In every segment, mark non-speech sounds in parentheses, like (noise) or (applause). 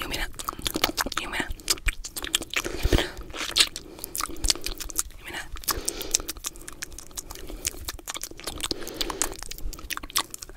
You mean it? You mean it? You mean it?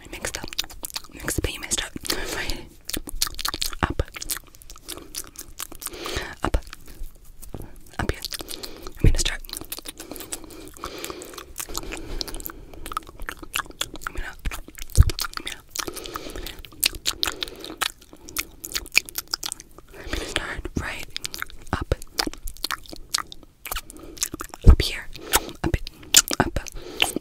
I mixed up. Mixed up, you messed up. Up. Up. Up here. I mean, start. I mean, up. I'm gonna start right up, up here, up, up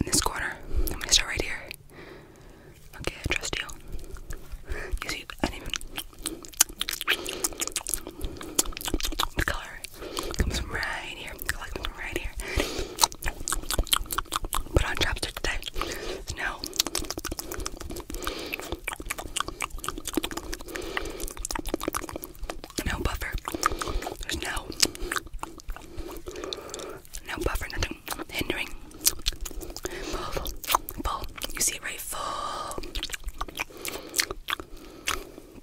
in this corner. I'm gonna start right here. Okay, I trust you. You see, I didn't color Comes from right here. Comes from right here. Put on chopsticks today. No. No buffer. There's no. No buffer. Nothing hindering. Full. You see it right full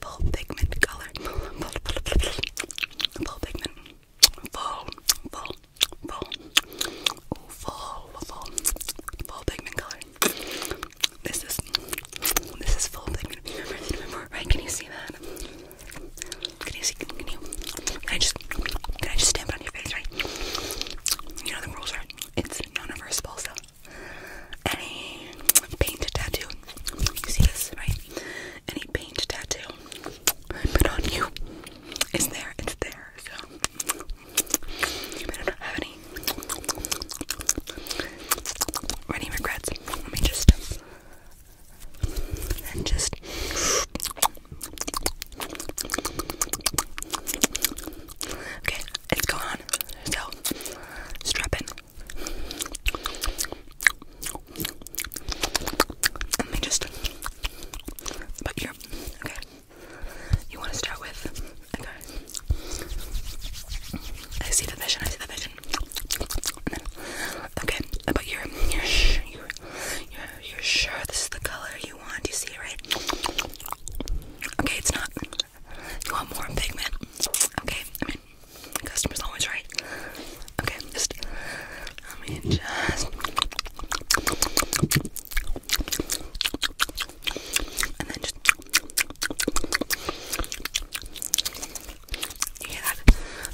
full pigment color, full, (laughs) full, full, full, full pigment, full, full, full, Ooh, full, full, full pigment color. This is, this is full pigment. Remember, right? Can you see that? Can you see? Can you? Can I just, can I just stamp it on your face, right? You know the rules, right? It's non-reversible, so any painted tattoo, you see this, right? any paint tattoo put on you is there, it's there, so you better not have any any regrets. Let me just and just Okay, it's gone. So strap let me just. But you're. Okay. You want to start with. Okay. I see the vision. I see the vision. Okay. But you're. You're. You're. You're. You're sure this is the color you want. You see it, right? Okay. It's not. You want more pigment. Okay. I mean. Customer's always right. Okay, just let me just and then just you hear that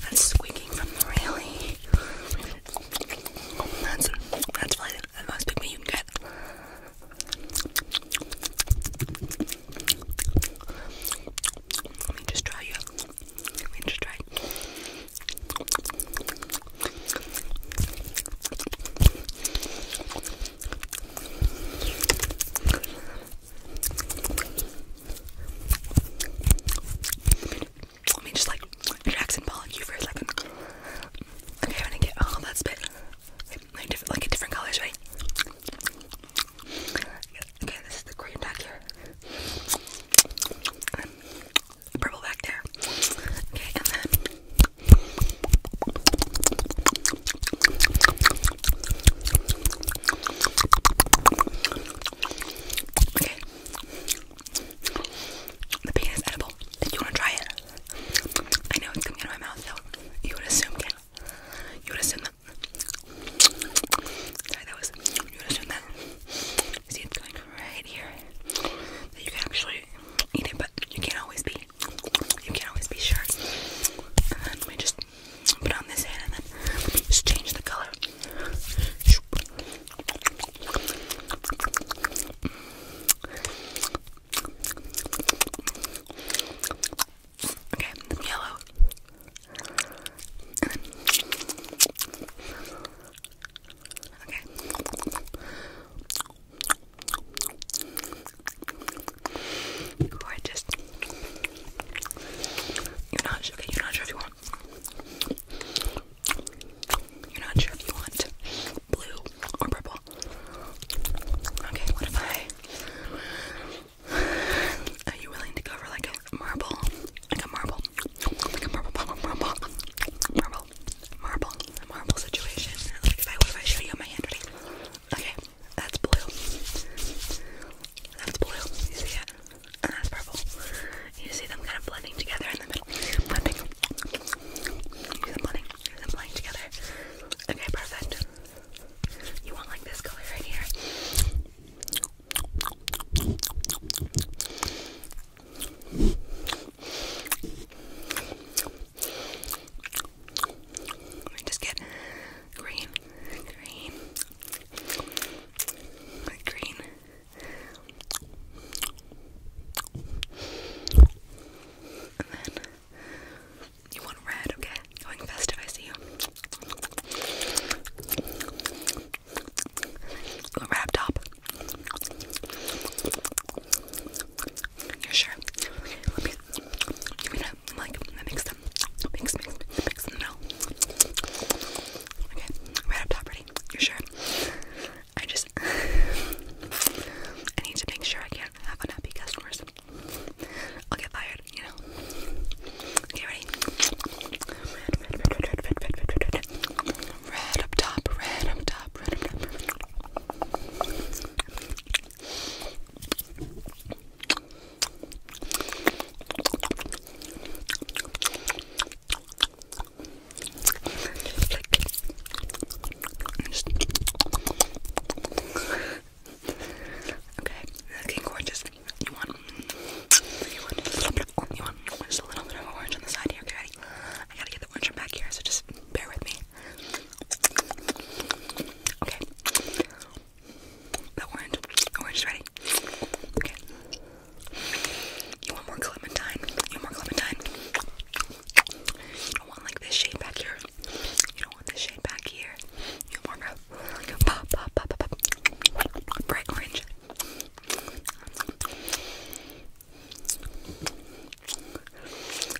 that squeaking from the railing. That's that's probably the most pigment you can get. Let me just try you. Let me just try. Let me just like Jackson Paul you for a second. Okay, I'm gonna get all oh, that spit. Like, like, like a different colors, right? Okay, this is the green back here. purple back there. Okay, and then Okay. The pain is edible. If you wanna try it. I know it's coming out of my mouth, so you would assume yeah. You would assume that Sorry, that was, you would assume that, see it's going right here, that you can actually eat it, but you can't always be, you can't always be sure. And then we just put on this hand and then just change the color. Okay, yellow. Okay. Gorgeous. You're not sure okay, you're not sure if you want you're not sure if you want blue or purple. Okay, what if I are you willing to go for like a marble? Like a marble. Like a marble, marble, marble, marble, marble, marble situation. Like if I what if I show you my handwriting? Okay, that's blue. That's blue. You see it? And that's purple. You see them kind of blending together in the middle. Blending. You see them blending. You see them blending together. Okay, perfect. You want like this color right here? Let me just get green, green, green. You want red, okay? Going festive, I see you. Go top. You're sure? Okay, let I'm like, I mix them. Mix, mix, mix them now. Okay, right top, ready? You're sure? I just. (laughs) I need to make sure I can't have unhappy customers. I'll get fired, you know. Okay, ready? Red, red, red, red, red, red, red, red. Red up top, red up top, red up top. Just okay, looking gorgeous. You want, you want you want just a little bit of orange on the side here, okay? I gotta get the orange back here, so just bear with me. Okay, the orange, orange ready. Okay, you want more clementine? You want more clementine? don't want like this shade back here. You don't want this shade back here. You want more like Bright orange.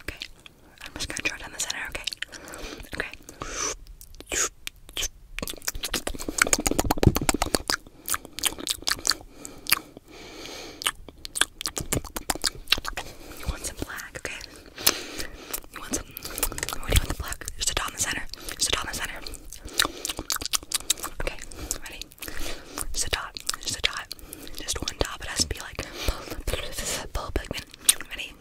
Okay. I'm just gonna draw down the center, okay? Okay. You want some black, okay? You want some? What do you want the black? Just a dot in the center. Just a dot in the center. Okay, ready? Just a dot. Just a dot. Just one dot, but it has to be like full pigment. Ready?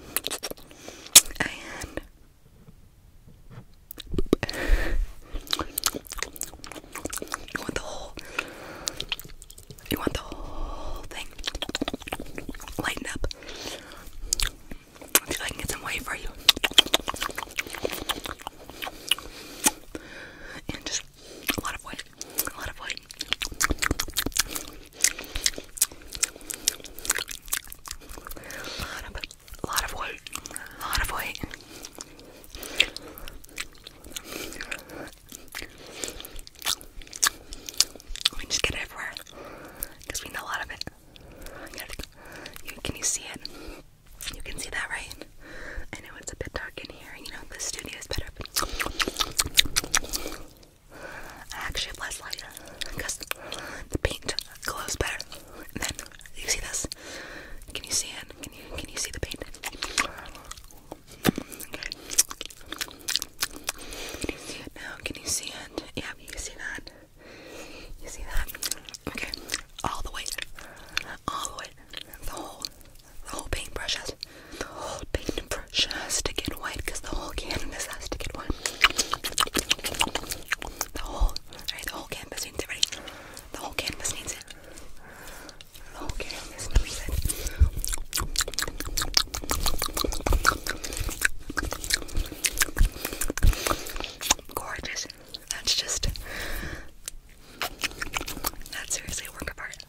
And you want the whole you want the whole thing lightened up. See if I can get some wave for you. And just a lot of white. A lot of white. A lot of, a A lot of white. We just get it everywhere we know a lot of it. can you see it? You can see that, right? I know it's a bit dark in here, you know the studio is better. I actually have less light the paint glows better. then you see this? Can you see it? Can you can you see the paint? Now, can you see it? Yeah, you see that? You see that? Okay, all the way, all the way, the whole, the whole paintbrush the whole paintbrush to get white the whole canvas has to get white. The whole, right? The whole canvas needs it. The whole canvas needs it. The whole canvas. Gorgeous. That's just that's seriously a work of art.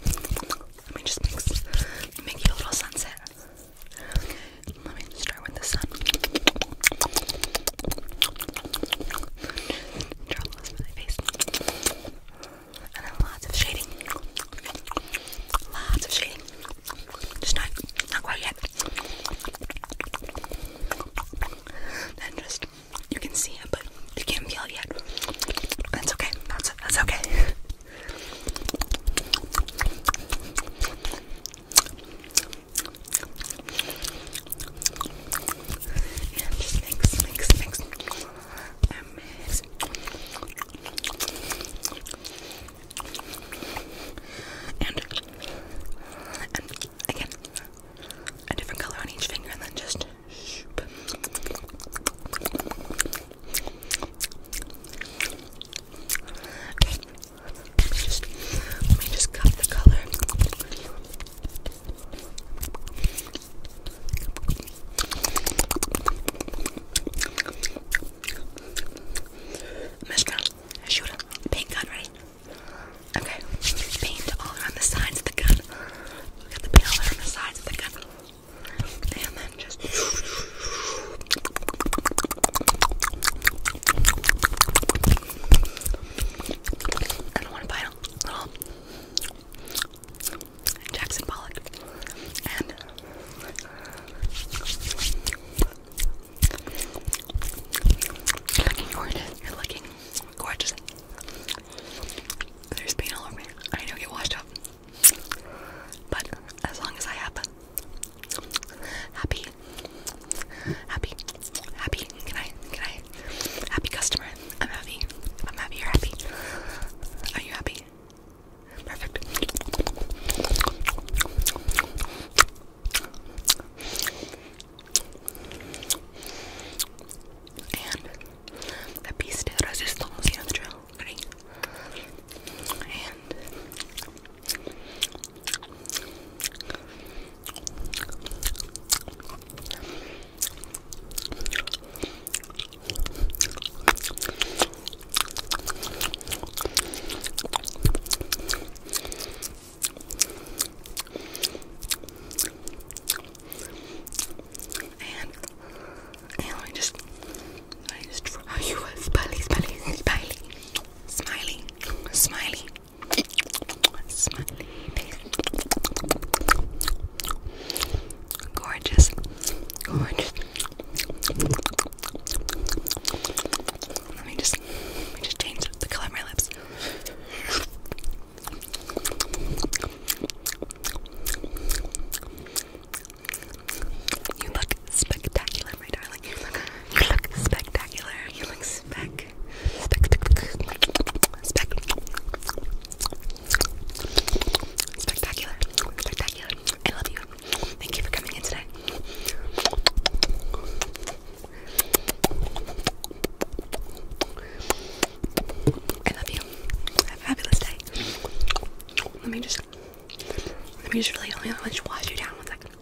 Let me just make, you a little sunset. Let me start with the sun and lots of shading. Lots of shading. Just not not quite yet. Then just you can see it, but you can't feel it yet. That's okay. That's okay. And mix, mix, mix. And again, a different color on each finger, and then just. just let me just cut the color. I'm gonna shoot a paint gun, right? Okay, paint all around the sides of the gun. Look at the paint all around the sides of the gun. And then just. Jackson Pollock, and you're looking You're looking gorgeous. There's paint all over me. I know get washed up, but as long as I have happy, happy, happy, can I, can I, Happy customer. I'm happy. I'm happy, you're happy. Are you happy? Perfect. And the piece de resistance, you the drill, ready? And and, let me just, let me just draw oh, you a smiley, smiley, smiley, smiley, smiley, smiley Gorgeous. Gorgeous. Let me just let me just change the color of my lips. You look spectacular, my darling. You look, spectacular. You look spec, spec, spec, Spectacular. Spectacular. I love you. Thank you for coming in today. I love you. Have a fabulous day. Let me just let me just really let me just wash you down one second.